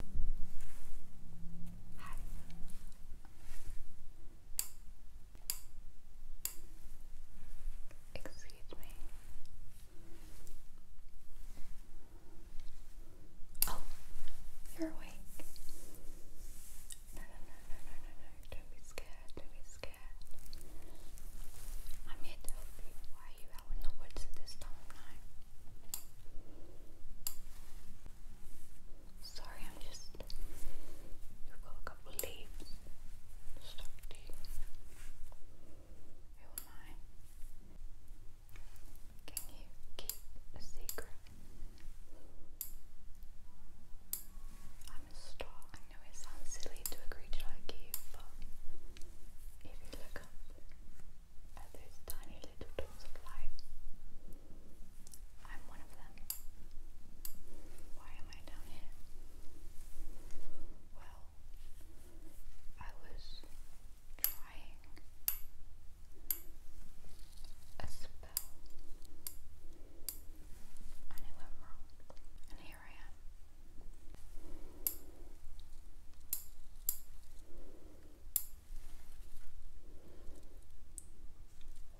Hi. Excuse me. Oh, you're awake. No, no, no, no, no, no, no. Don't be scared. Don't be scared. I'm here to help you. Why are you out in the woods at this time of night? Sorry, I'm just. you got a couple leaves stuck to you. Who am I? Can you keep a secret? I'm a star. I know it sounds silly to a creature like you, but if you look up, are those tiny little dots of light. I'm one of them. Why am I down here? Well, I was trying a spell and it went wrong, and here I am.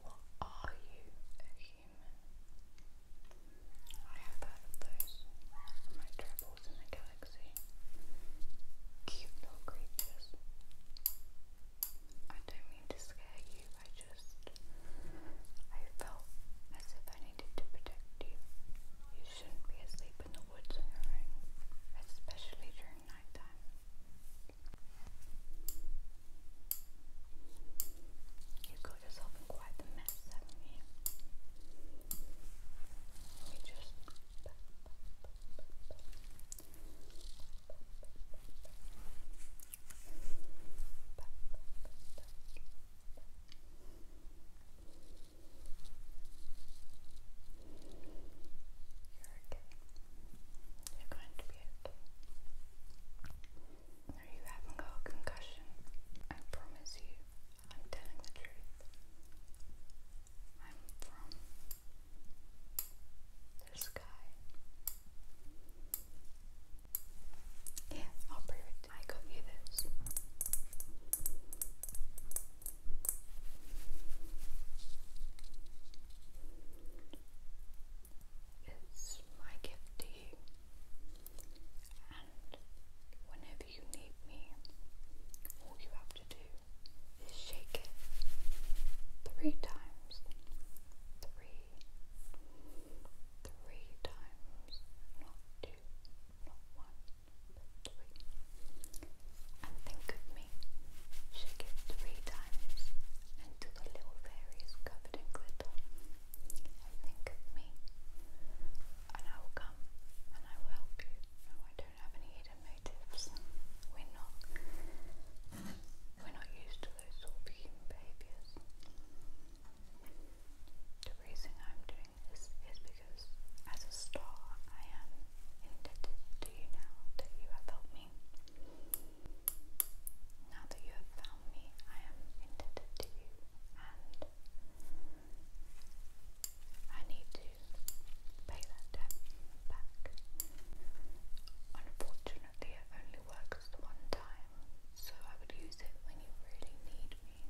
What are you, a human? I have heard of those. My travels in the galaxy. Cute little creatures. I don't mean to scare you, I just I felt as if I needed to protect you. You shouldn't be asleep in the woods on your own, especially during nighttime. You got yourself in quite the mess, haven't you? Let me just. You're okay. You're going to be okay. No, you haven't got a concussion. I promise you, I'm telling the truth. I'm from the sky. Yeah, I'll prove Perfect. I got you this. It's my gift to you, and whenever you need me, all you have to do is shake it three times, three, three times, two, And think of me, shake it three times until the little fairy covered in glitter. think of me, and I will come and I will help you. I don't have any hidden motives. We're not, we're not used to those sort of human behaviours. The reason I'm doing this is because as a star I am indebted to you now that you have helped me. Now that you have found me, I am indebted to you and I need to pay that debt back. Unfortunately it only works one time so I would use it when you really need me.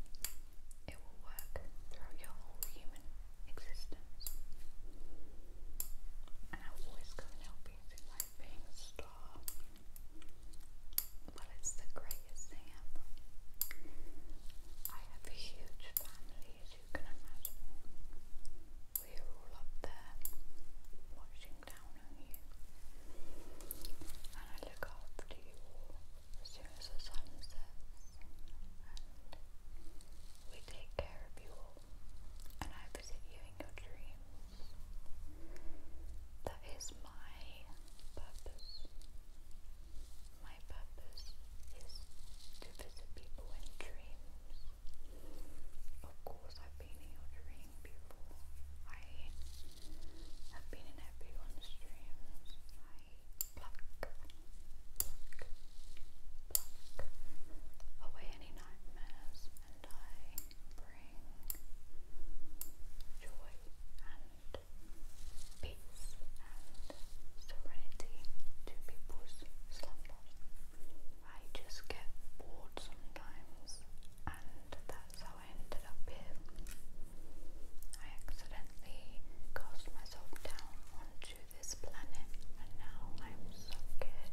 It will work throughout your whole human existence. And I will always come and help you. It's like being a star. Well, it's the greatest thing ever. I have a huge family, as you can imagine. We are all up there watching down you. And I look after you as soon as the sun sets. And we take care of you all. And I visit you in your dreams. That is my purpose. My purpose is to visit people in dreams. Of course, I been in your dream, people. I have been in everyone's dreams. I pluck, pluck, pluck away any nightmares and I bring joy and peace and serenity to people's slumber. I just get bored sometimes and that's how I ended up here. I accidentally cast myself down onto this planet and now I'm stuck here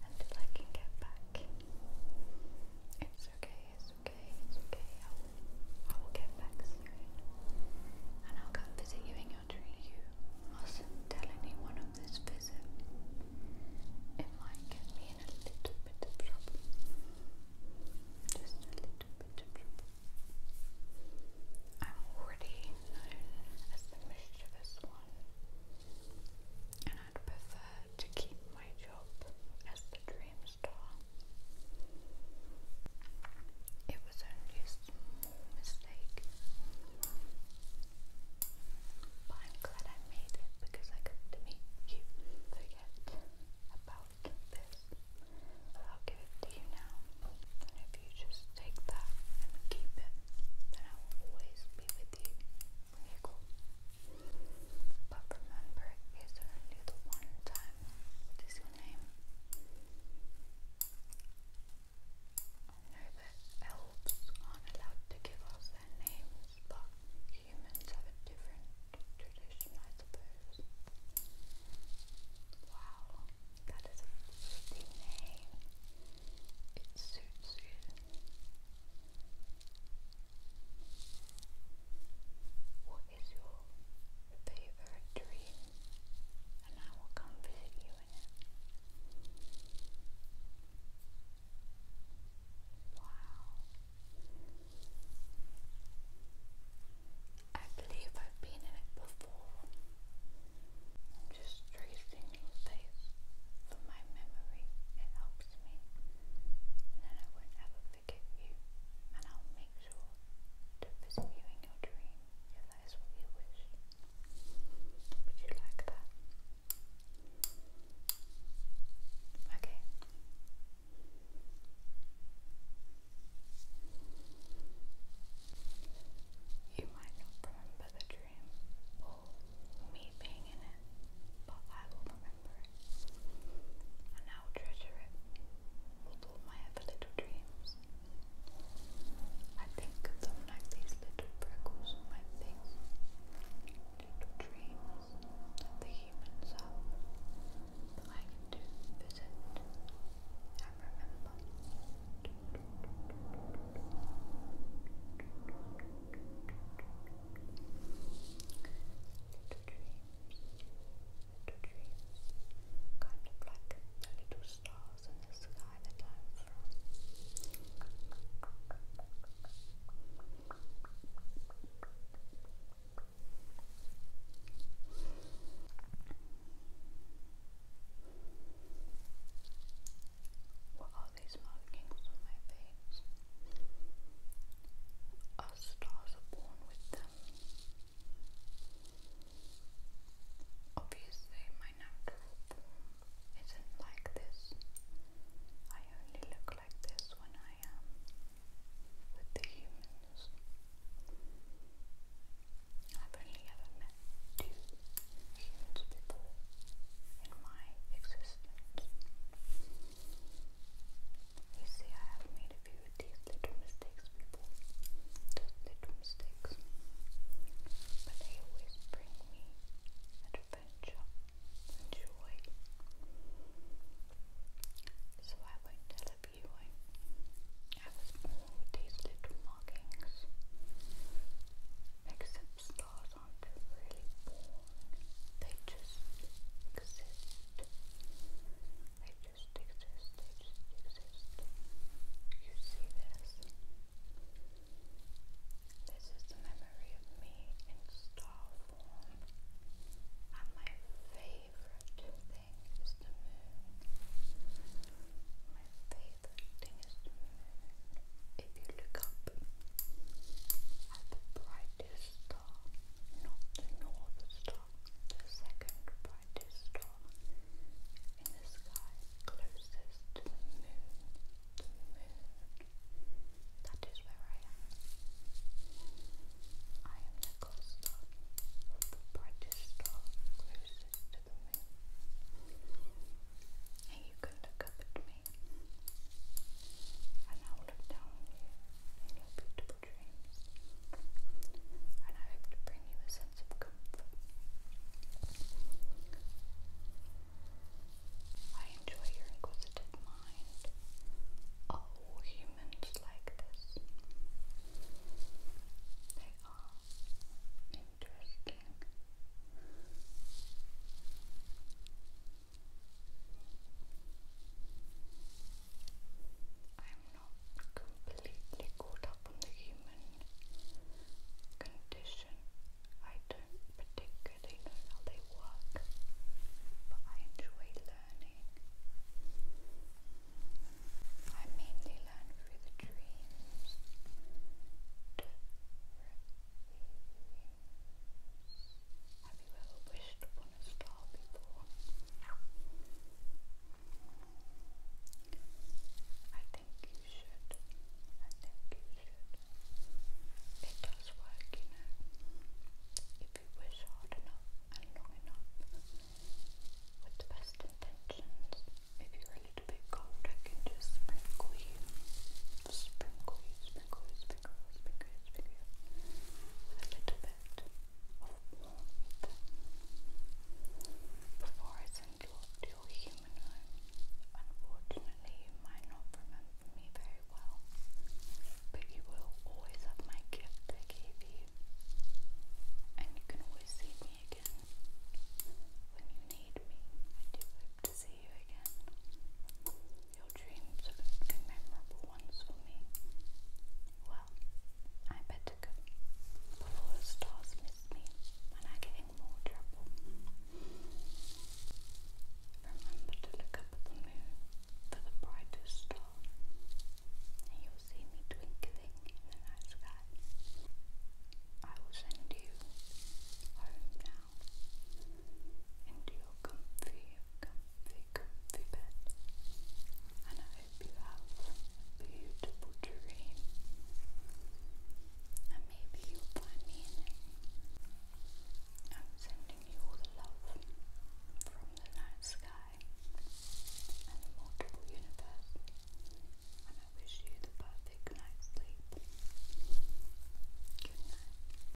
until I can get back. It's okay, it's okay, it's okay. I will, get back soon. And I'll come visit you in your dream. You mustn't tell anyone of this visit it might get me a little bit of trouble. Just a little bit of trouble. I'm already known as the mischievous one, and I'd prefer to keep my job as the dream star. It was only a mistake. But I'm glad I made it because I got to meet you. Forget about this. I'll give it to you now. And if you just take that and keep it, then I will always be with you when you But remember, it's only the one time. What is your name? I know that elves aren't allowed to give us their names, but humans have a different tradition, I suppose. Wow, that is a pretty name. It suits you. What is your favorite dream? And I will come visit you it. Wow. I believe I've been in it before. I'm just tracing your face from my memory. It helps me. And I won't forget you. And I'll make sure to visit your dream if what you wish. Would you like that? Okay. You might not remember the dream or me being in it, but I will remember it. And I treasure it with all my ever little dreams. I think of them like these little prickles my little dreams that the humans have that I visit and remember. Little dreams, little dreams, kind of like the little stars in the sky What are these markings on my face? Our stars born with them. Obviously, my natural isn't like this. I only look like this when I am with the humans. I've only ever met two humans before in my existence. You see, I have made a few with these little mistakes, people. Just little mistakes. But they always bring me adventure joy. So I won't tell a you I, was all these little markings. Except stars aren't really born. They just exist just they just exist. You see this? This is the memory of me in star form. And my favorite thing is the moon. My favorite thing is the moon. If you look up at the brightest star, not the north star, the second brightest star in the sky closest to the moon, That is where I am. I am the closest star, the brightest star closest to the moon. And you can look up at me, and I will look down on you in your beautiful dreams, and I hope to bring you a sense of comfort. I enjoy your inquisitive mind. all humans like this? They are interesting not completely caught up on the human condition. I don't particularly know how they work, but I enjoy learning. I mainly learn through the dreams. Have you ever wished upon a star before? I think you should. I think you should. It does work, you know. If you wish hard enough and long enough, with the best intentions, if you're a little bit cold, I can just sprinkle you. Sprinkle you, sprinkle you, sprinkle you fingers, a little bit before I send you off to your human home. Unfortunately, you might not remember me very well, but you will always have my gift I gave you, and you can always see me again when you need me. I do hope to see you again. Your dreams are going to be memorable ones for me. Well, I better go before the stars miss me and I get in more trouble. Remember to look up at the moon for the brightest star, and you'll see me twinkling in the night sky. I will send you home now into your comfy, comfy comfy, comfy And I hope you have a beautiful dream. And maybe you find me in it. I'm sending you all the love from the night sky and the multiple universe. And I wish you the perfect night's sleep. Good night.